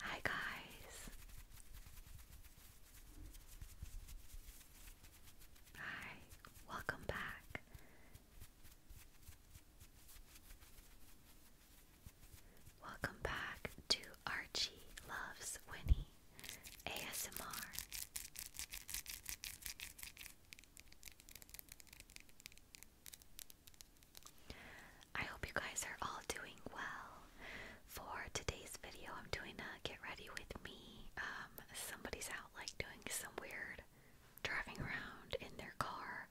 Hi guys. Hi, welcome back. Welcome back to Archie Loves Winnie ASMR. I hope you guys are all doing well. For today's video, I'm doing a get ready with me. Um, somebody's out like doing some weird driving around in their car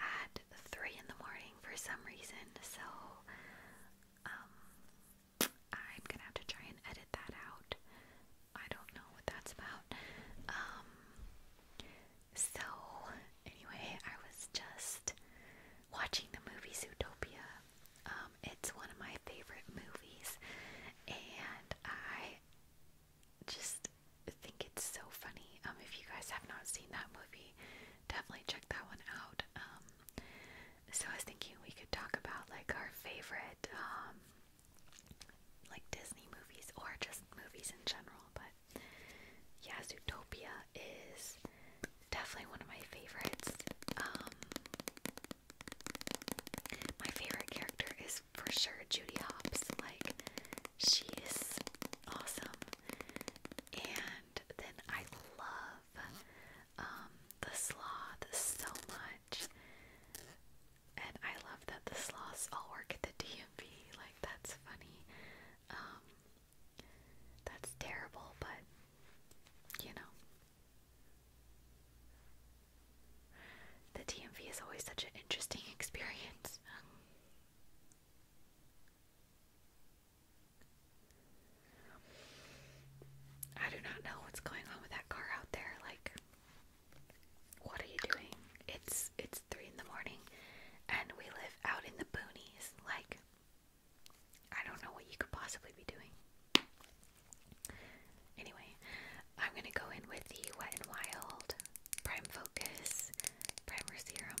at 3 in the morning for some reason, so um, I'm gonna have to try and edit that out. I don't know what that's about. Um, so, anyway, I was just watching the movie Zootopia. Um, it's one of my favorite movies, and I just think it's so funny. Um, if you guys have not seen that movie, definitely check that one out. Um, so I was thinking we could talk about like our favorite um like Disney movies or just movies in general, but yeah, Zootopia is definitely one of my favorites. Um, my favorite character is for sure Judy Hopps. Like, she is awesome. And then I love um, the sloth so much. And I love that the sloths all work at the DMV. Like that's funny. Um, that's terrible, but you know. The DMV is always such an interesting experience. I do not know what's going on with that car out there. Like, what are you doing? It's it's three in the morning and we live out in the boonies. Like I don't know what you could possibly be doing. Anyway, I'm gonna go in with the Wet and Wild Prime Focus Primer Serum.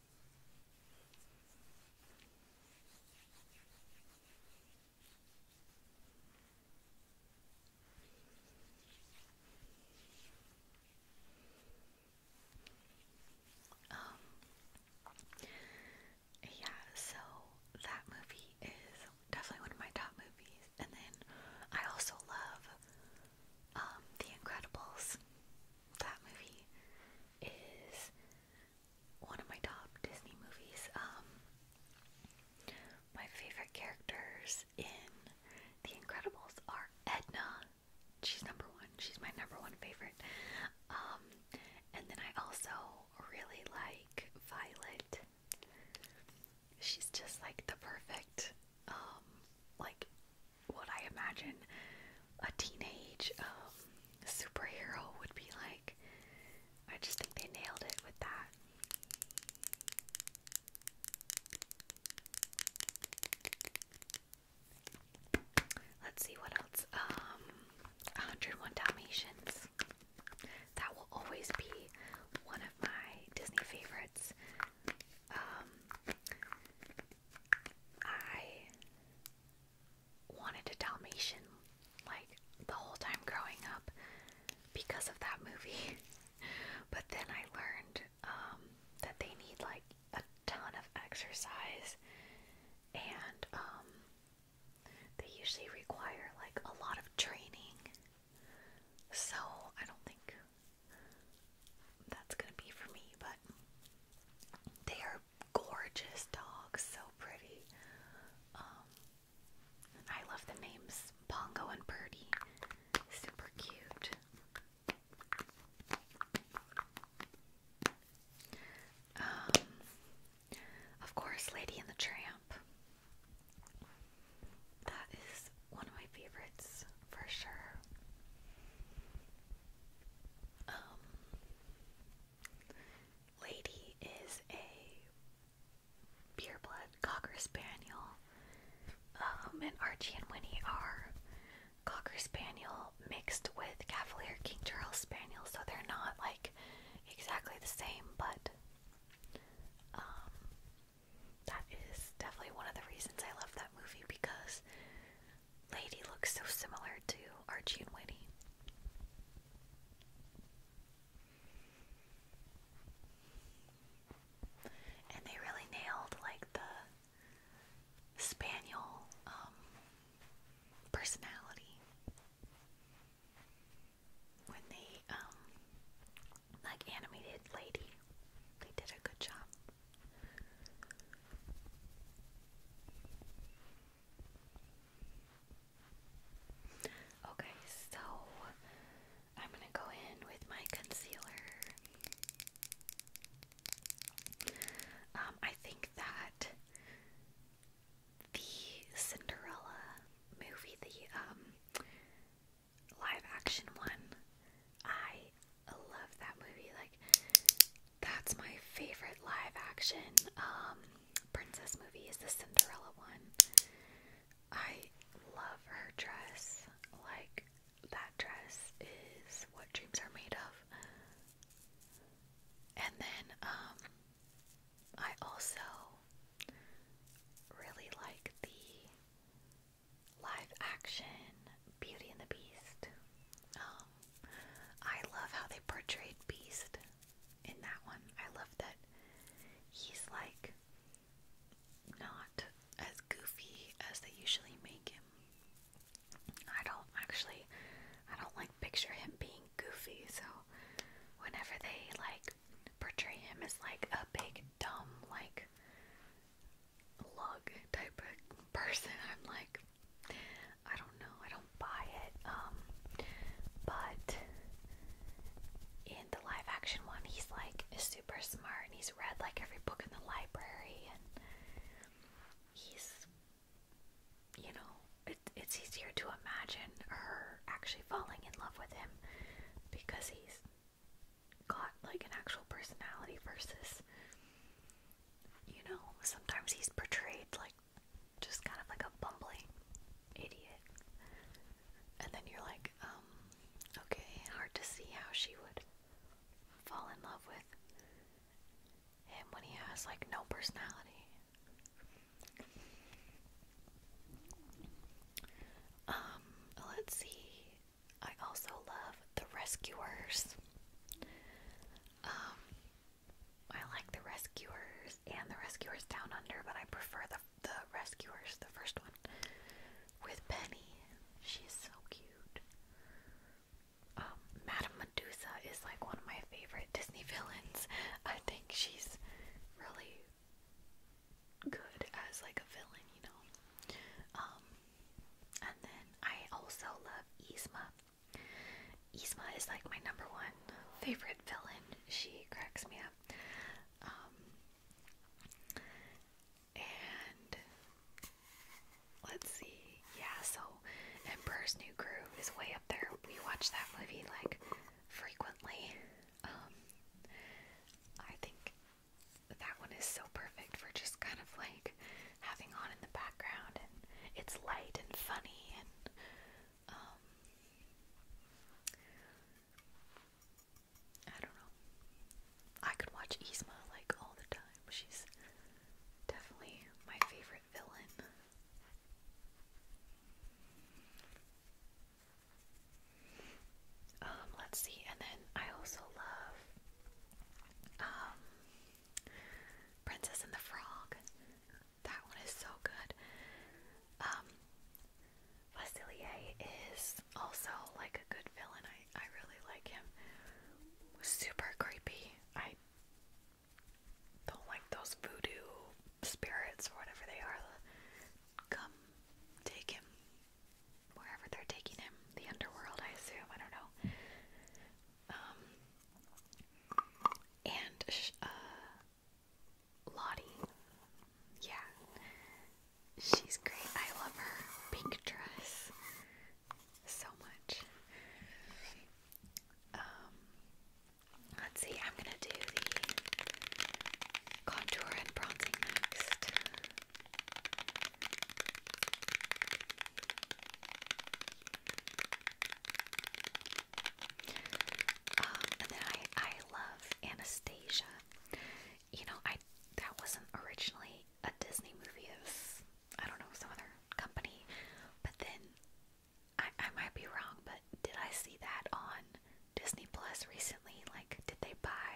Um yeah, so that movie is definitely one of my top movies. And then I also love um The Incredibles. That movie is one of my top Disney movies. Um, my favorite characters in The Incredibles are Edna. She's number one. She's my number one favorite. Um, and then I also really like Violet. She's just like the perfect, um, like what I imagine a teenage um, superhero would be like. I just think they nailed it with that. Let's see what else. 101 um, Dalmatians. That will always be one of my Disney favorites. Um, I wanted a Dalmatian like the whole time growing up because of that movie. but then I learned um, that they need like a ton of exercise and um, they usually require like a lot of training. So I don't think that's gonna be for me, but they are gorgeous dog, so pretty. Um, I love the names Pongo and Purdy. Super cute. Um, of course, Lady in the Tramp. That is one of my favorites for sure. Um, lady is a pureblood cocker spaniel. Um, and Archie and Winnie are cocker spaniel mixed with Cavalier King Charles spaniel, so they're not like exactly the same, but um, that is definitely one of the reasons I love that movie because lady looks so similar to Archie and Winnie. And they really nailed like the spaniel um, personality when they um, like animated lady. They did a good job. Okay, so I'm going to go in with my concealer. Um, I think that the Cinderella movie, the um, live action one, I love that movie. Like, that's my favorite live action um, princess movie is the Cinderella one. I love her dress. Like that dress is what dreams are made of. And then um, I also really like the live action Beauty and the Beast. Um, I love how they portray Beast in that one. I love that he's like not as goofy as they usually make him. I don't actually, I don't like picture him being goofy, so whenever they like portray him as like a big, dumb, like lug type of person, I'm like, I don't know. I don't buy it. Um, but in the live action one, he's like super smart and he's read like every book in the library and he's, you know, it, it's easier to imagine her actually falling in love with him because he's got like an actual personality versus you know, sometimes he's portrayed like just kind of like a bumbling idiot. And then you're like, um, okay, hard to see how she would fall in love with him when he has like no personality. Um, let's see. I also love The Rescuers. Um, I like the Rescuers and the Rescuers Down Under, but I prefer the the Rescuers, the first one, with Penny. She's so cute. Um, Madame Medusa is like one of my favorite Disney villains. I think she's really good as like a villain, you know. Um, and then I also love Yzma. Yzma is like my number one favorite villain. She cracks me up. Um, and let's see. Yeah, so Emperor's New Groove is way up there. We watch that movie like frequently. Um, I think that one is so perfect for just kind of like having on in the background, and it's light and funny, and um, I don't know. I could watch Yzma like all the time. She's definitely my favorite villain. Um, let's see, and then I also love um, Princess and the Frog. That one is so good. Um, Vasilier is also like a good villain. I, I really like him. Super creepy. I don't like those voodoo spirits or whatever they are. Come take him wherever they're taking him. The underworld, I assume. I don't know. Um, and uh, Lottie. Yeah, she's great. I love her pink dress so much. Um, let's see. I'm gonna do the contour and bronzing next. Um, and then I I love Anastasia. You know, I that wasn't originally a Disney movie. It I don't know some other company, but then I I might be wrong. But did I see that on Disney Plus recently? Like, did they buy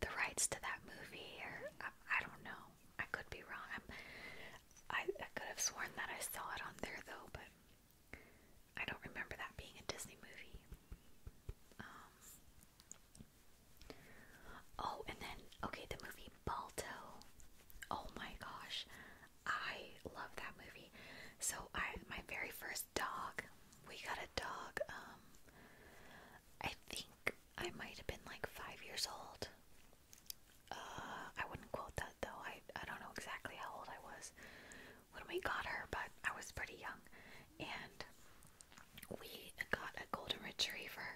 the rights to that movie? Or I, I don't know. I could be wrong. I, could have sworn that I saw it on there though, but I don't remember that being a Disney movie. Um, oh, and then, okay, the movie Balto. Oh my gosh, I love that movie. So, I my very first dog, we got a dog, um, I think I might have been like five years old. Uh, I wouldn't quote that though. I I don't know exactly how old I was when we got her, but I was pretty young, and we got a golden retriever,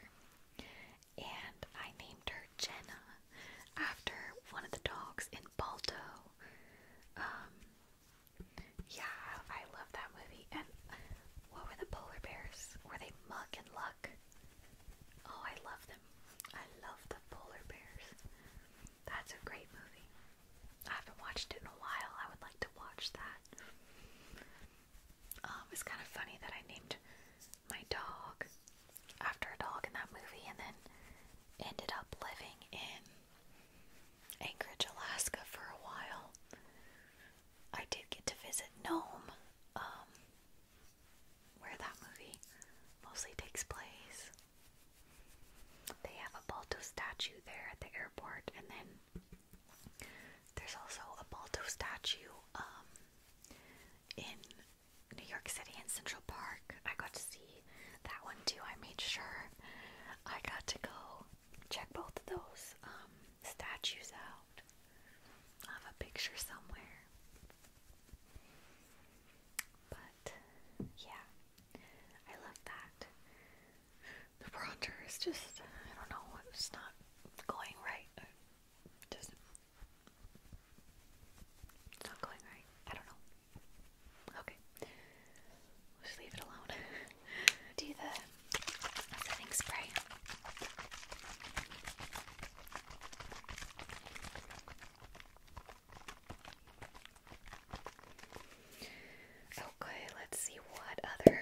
and I named her Jenna after one of the dogs in Balto. Um, yeah, I love that movie. And what were the polar bears? Were they Muck and Luck? Oh, I love them. I love the polar bears. That's a great movie. I haven't watched it in a while. I would like to watch that. Um, it's kind of funny that I named my dog after a dog in that movie and then ended up living in Anchorage, Alaska for a while. I did get to visit Nome um, where that movie mostly takes place. They have a Balto statue there at the airport, and then there's also a Balto statue um, in New York City in Central Park. I got to see that one too. I made sure I got to go check both of those um, statues out. I have a picture somewhere. But yeah, I love that. The bronzer is just, I don't know, it's not going right. just, it's not going right. I don't know. Okay. We'll leave it alone. Do the setting spray. Okay, let's see what other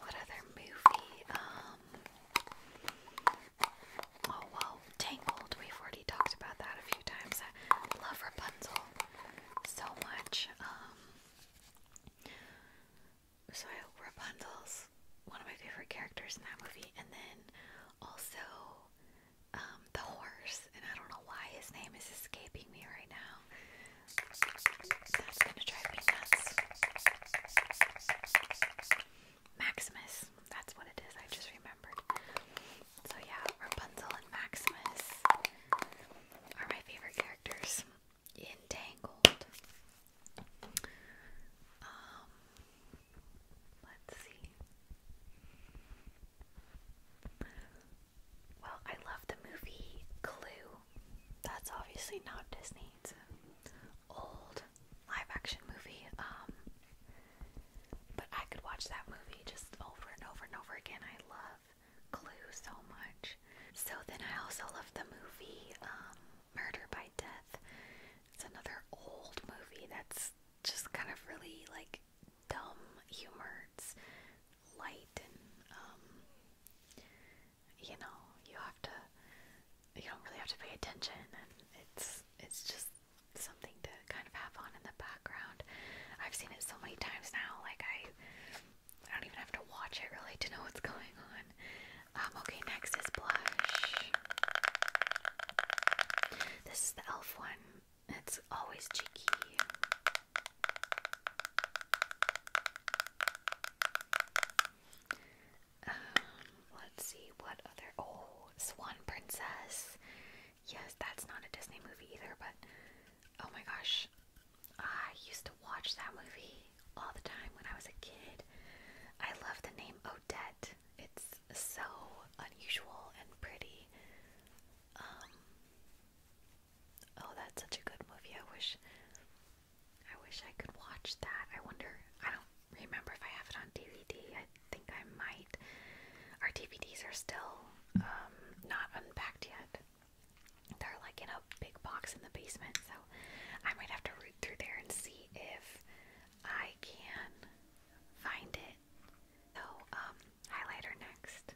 what other movie. Oh well, Tangled, we've already talked about that a few times. I love Rapunzel so much. Um so Rapunzel's one of my favorite characters in that movie and then also um, the horse, and I don't know why his name is escaping me right now. That's gonna drive me nuts. Maximus, that's what it is, I just remembered. So, yeah, Rapunzel and Maximus are my favorite characters. Entangled. Um, Let's see. Well, I love the movie Clue. That's obviously not Disney's old live action movie. Um but I could watch that movie just over and over and over again. I love Clue so much. So then I also love the movie um, Murder by Death. It's another old movie that's just kind of really like dumb humor. It's light and um you know, you have to you don't really have to pay attention and it's it's just something to kind of have on in the background. I've seen it so many times now, like I I don't even have to watch it really to know what's going on. Um, okay, next is blush. This is the elf one. It's always cheeky. Um, let's see what other. Oh, Swan Princess. Yes, that's not a Disney movie either, but oh my gosh. I used to watch that movie all the time when I was a kid. I love the name Odette. It's so unusual and pretty. Um, oh, that's such a good movie. I wish I wish I could watch that. I wonder. I don't remember if I have it on DVD. I think I might. Our DVDs are still um, not unpacked yet. They're like in a big box in the basement, so I might have to root through there and see if I can find it so, um, highlighter next.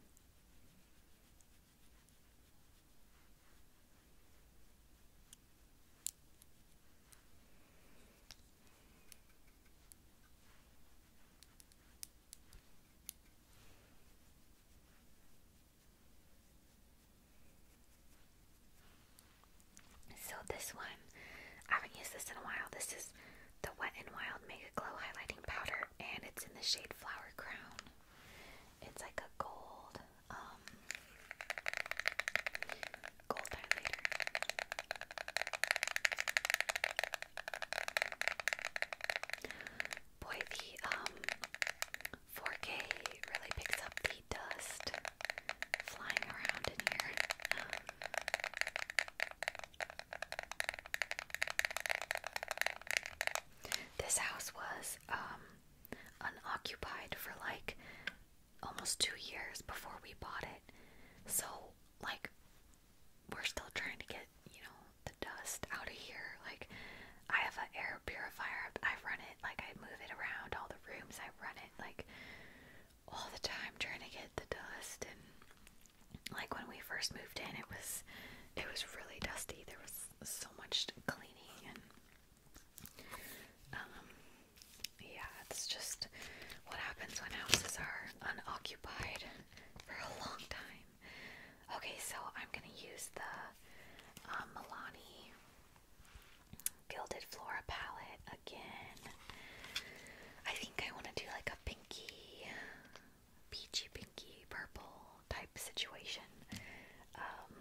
So this one, I haven't used this in a while. This is the Wet n Wild Mega Glow Highlighting Powder, and it's in the shade Flower Crown. It's like a gold, um, gold highlighter. Boy, the um, 4K really picks up the dust flying around in here. Um, this house was um, unoccupied for like almost 2 years before we bought it. So like we're still trying to get, you know, the dust out of here. Like I have an air purifier. I run it. Like I move it around all the rooms. I run it. Like all the time trying to get the dust and like when we first moved in it was it was really dusty. There was so much cleaning and um yeah, it's just what happens when houses are unoccupied for a long time. Okay, so I'm gonna use the uh, Milani Gilded Flora palette again. I think I want to do like a pinky, peachy pinky purple type situation. Um,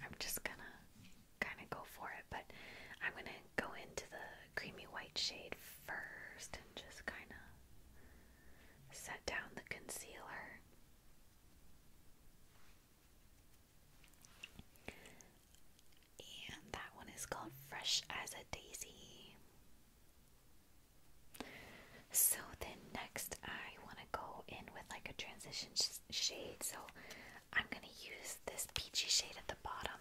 I'm just gonna kind of go for it, but I'm gonna go into the creamy white shade first and just kind of set down the concealer and that one is called Fresh as a Daisy. So then next I want to go in with like a transition shade. So I'm going to use this peachy shade at the bottom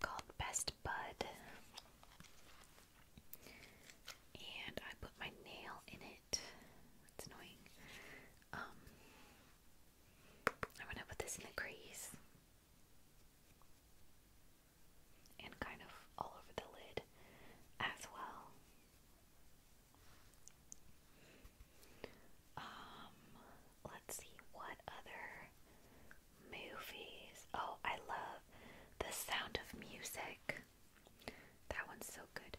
called Best Bud. And I put my nail in it. It's annoying. Um I'm to put this in the crease and kind of all over the lid as well. Um, let's see what other movies. Oh, I love The Sound of Music. That one's so good.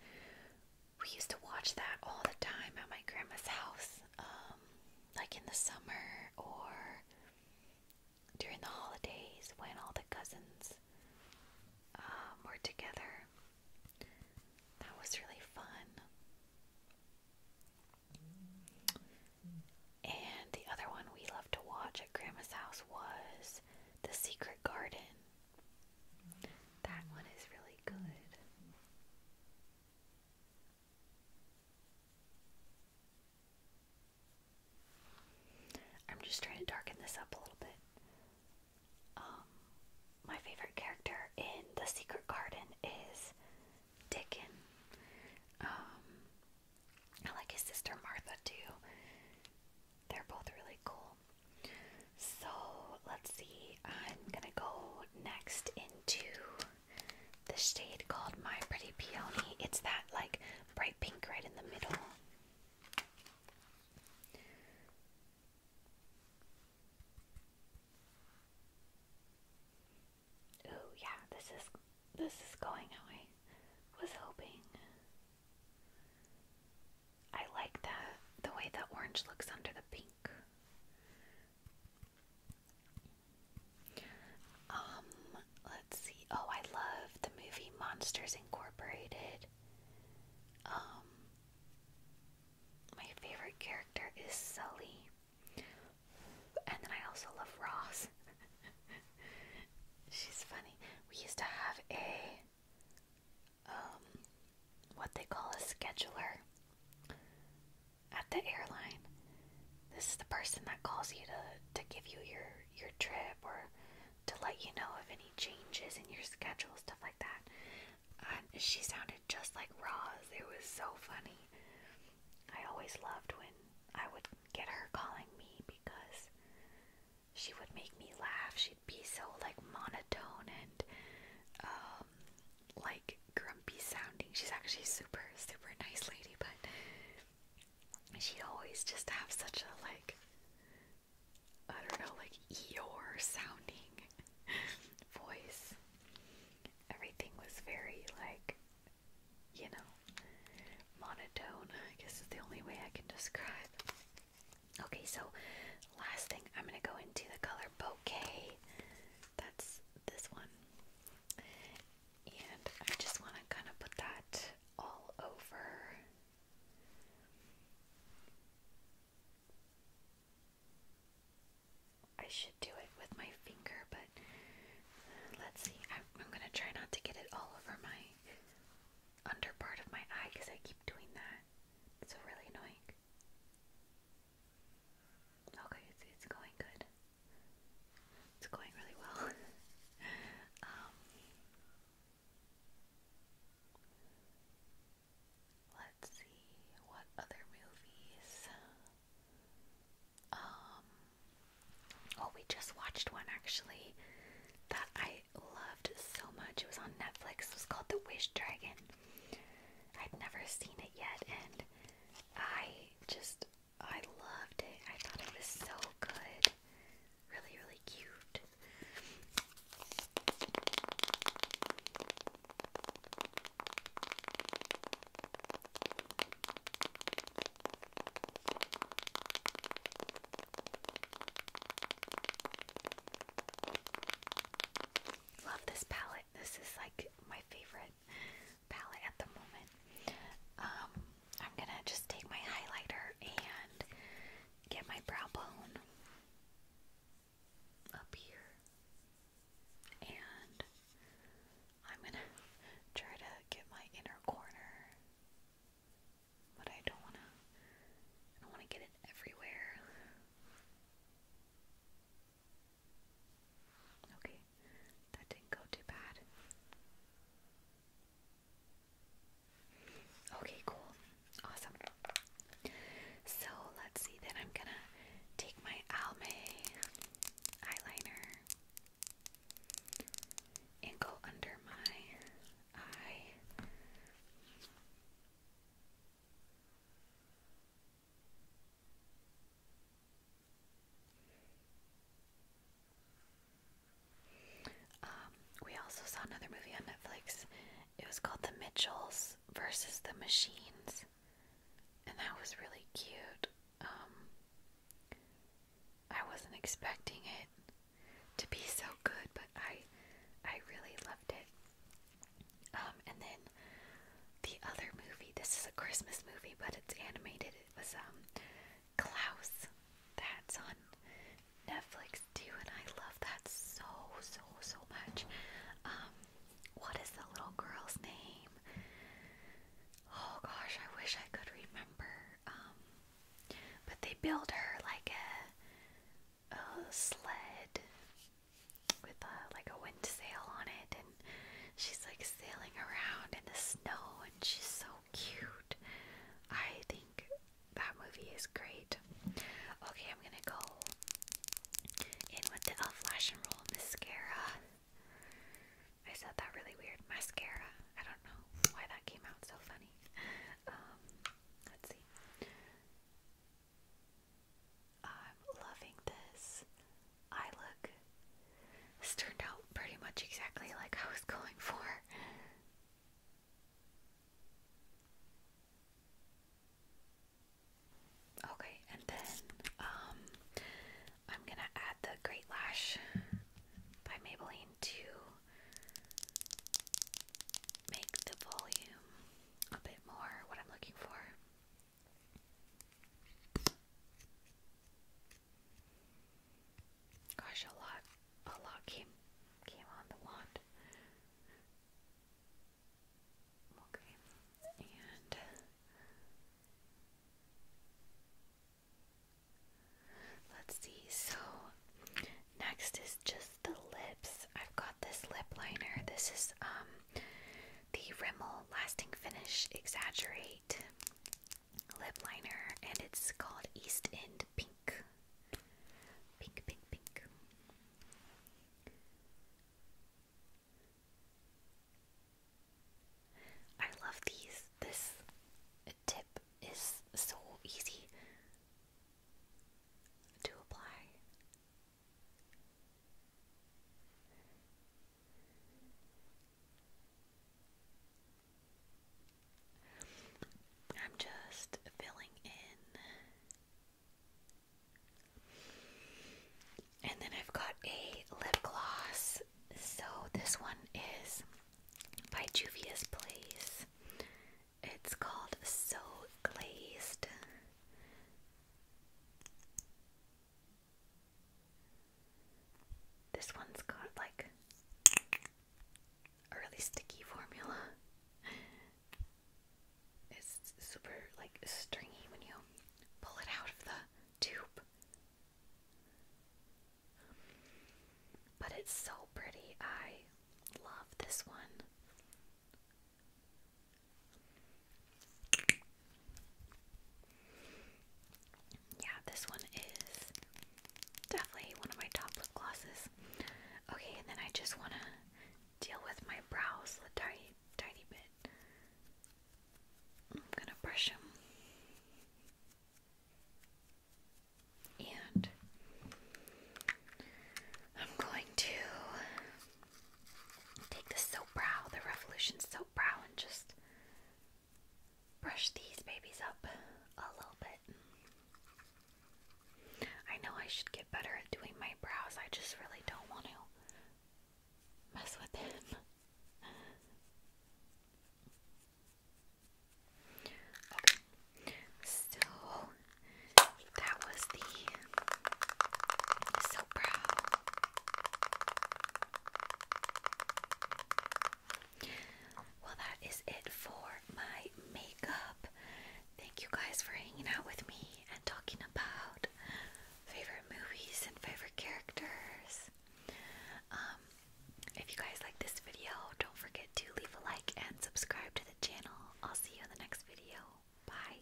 We used to watch that all the time at my grandma's house, um, like in the summer or during the holidays when all the cousins um, were together. That was really fun. And the other one we loved to watch at Grandma's house was The Secret Garden. That one is really good. I'm just trying to darken this up a little bit. Um, my favorite character in The Secret Garden is Dickon. Um, I like his sister Martha too. They're both really cool. So let's see. I'm gonna go next into the shade called My Pretty Peony. It's that like bright pink right in the middle. Oh yeah, this is this is going how I was hoping. I like that the way the orange looks under the pink. Um, let's see. Oh, I love the movie Monsters Incorporated. Um, my favorite character is Sully. And then I also love Ross. She's funny. We used to have a um what they call a scheduler at the airline. This is the person that calls you to, to give you your, your trip or to let you know of any changes in your schedule, stuff like that. Um, she sounded just like Roz. It was so funny. I always loved when I would get her calling me because she would make me laugh. She'd be so like monotone and um, like grumpy sounding. She's actually super, super nice lady, but she always just have such a like I don't know, like Eeyore sounding voice. Everything was very like you know, monotone, I guess is the only way I can describe. Okay, so last thing I'm gonna go into the color bouquet. That's this one. And I just want to kind of put that all over. I should do it with my finger, but let's see. I'm, going to try not to get it all over my under part of my eye because I keep doing that. It's really annoying. Okay, it's going good. It's going really well. Um, let's see what other movies. Um, oh, we just watched one actually that I loved so much. It was on Netflix. It was called The Wish Dragon. I'd never seen it yet, and I just I loved it. I thought it was so good. Really, really cute. Love this palette. This is like my favorite palette at the moment. Um, I'm gonna just take my highlighter and get my brow bone up here, and I'm gonna try to get my inner corner, but I don't wanna. I don't wanna get it everywhere. Okay. That didn't go too bad. Okay, cool. Awesome. So let's see, then I'm gonna take my Almay eyeliner and go under my eye. Um, we also saw another movie on Netflix. It was called The Mitchells versus the Machines, and that was really cute. Um, I wasn't expecting it to be so good, but I, I really loved it. Um, and then the other movie. This is a Christmas movie, but it's animated. It was um, Klaus. That's on Netflix too, and I love that so, so, so much. Um, what is the little girl's name? Oh gosh, I wish I could remember. Um, but they build her like a, a sled with a, like a wind sail on it, and she's like sailing around in the snow, and she's so cute. I think that movie is great. Okay, I'm gonna go in with the Elf and Roll mascara. I said that really weird. Mascara. I don't know why that came out so funny. Um, let's see. I'm loving this. I look. This turned out pretty much exactly like I was going for. Okay, and then um, I'm gonna add the Great Lash by Maybelline to make the volume a bit more what I'm looking for. Gosh, a lot, a lot came came on the wand. Okay, and let's see. So next is just the lips. I've got this lip liner. This is um the Rimmel Lasting Finish Exaggerate lip liner and it's called East End Pink. Pink, pink, pink. I love these. This tip is so easy to apply. I'm just filling in. And then I've got a lip gloss. So this one is by Juvia's Place. It's called So Glazed. This one's got like a really sticky formula. It's super like stringy when you pull it out of the tube. But it's so pretty. I love this one. Yeah, this one is definitely one of my top lip glosses. Okay, and then I just want to deal with my brows a tiny, tiny bit. I'm gonna brush them. And I'm going to take the soap brow, the Revolution soap brow, and just brush these babies up a little bit. I know I should get better at doing my brows, I just really don't want to mess with them. so that was the soap well, that is it for my makeup. Thank you guys for hanging out with me and talking about favorite movies and favorite characters. Um, if you guys like this video, don't forget to leave a like and subscribe to the channel. I'll see you in the next video. Bye.